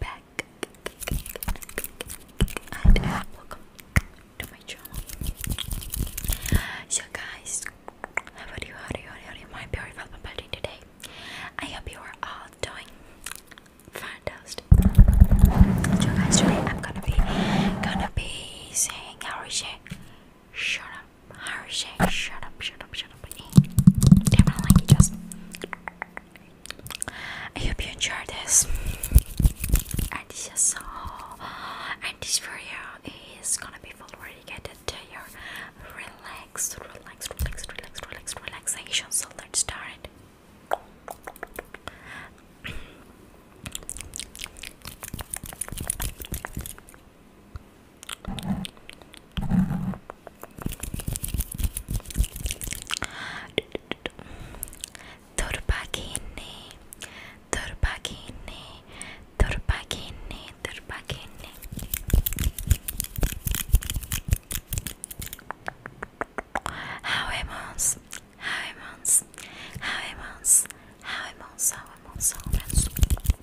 back. And welcome to my channel. So, guys, how are you? How are you? How are you? My beautiful party today. I hope you are all doing fantastic. So, guys, today I'm gonna be gonna be saying Harisha, shut up, Harisha, shut up, shut up, shut up. Definitely just. I hope you enjoy this. And this is all. Uh, and this video is gonna be full dedicated to your relaxed, relaxed, relaxed, relaxed, relaxed relaxation. So let's start. it. Turbagini, turbagini, turbagini, turbagini. Habemos, habemos, habemos, habemos, habemos, habemos.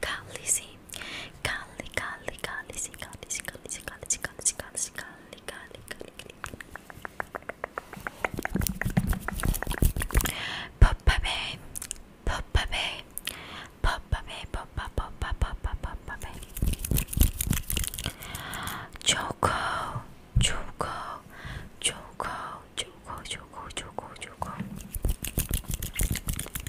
Kalisi, Kali, Kali, Kalisi, Kalisi, Kalisi, Kalisi, Kalisi, Kalisi, Kali, Kali, Kali, Poppa Bay, Poppa Bay, Poppa Bay, Poppa, Poppa, Poppa, Poppa Bay. Choco, Choco, Choco, Choco, Choco, Choco, Choco.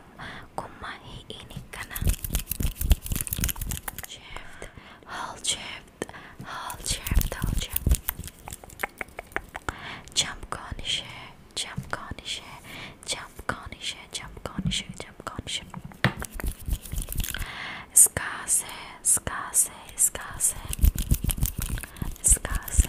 inom kung mahiinit ka na. Shift, hold shift, hold shift, hold shift. Jump konişe, jump konişe, jump konişe, jump konişe, jump konişe. Skase, skase, skase. Skase.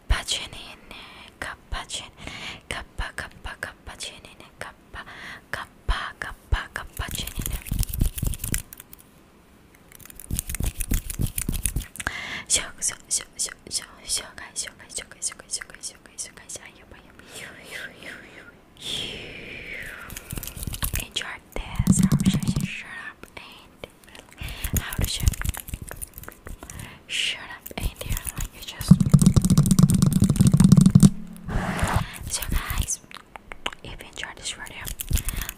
Cappuccinine, cappuccinine, cappa, cappa, cappuccinine, cappa, cappa, cappa, cappuccinine. Show, show, show, show, show, show, show, show, show, show, show, show, Enjoy this. Shut up and how did you shut up Indian just? So guys, if you enjoyed this video,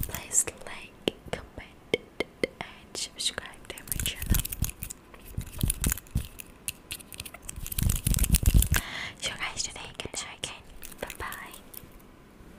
please like, comment, and subscribe to my channel. So guys, today, good night, bye bye.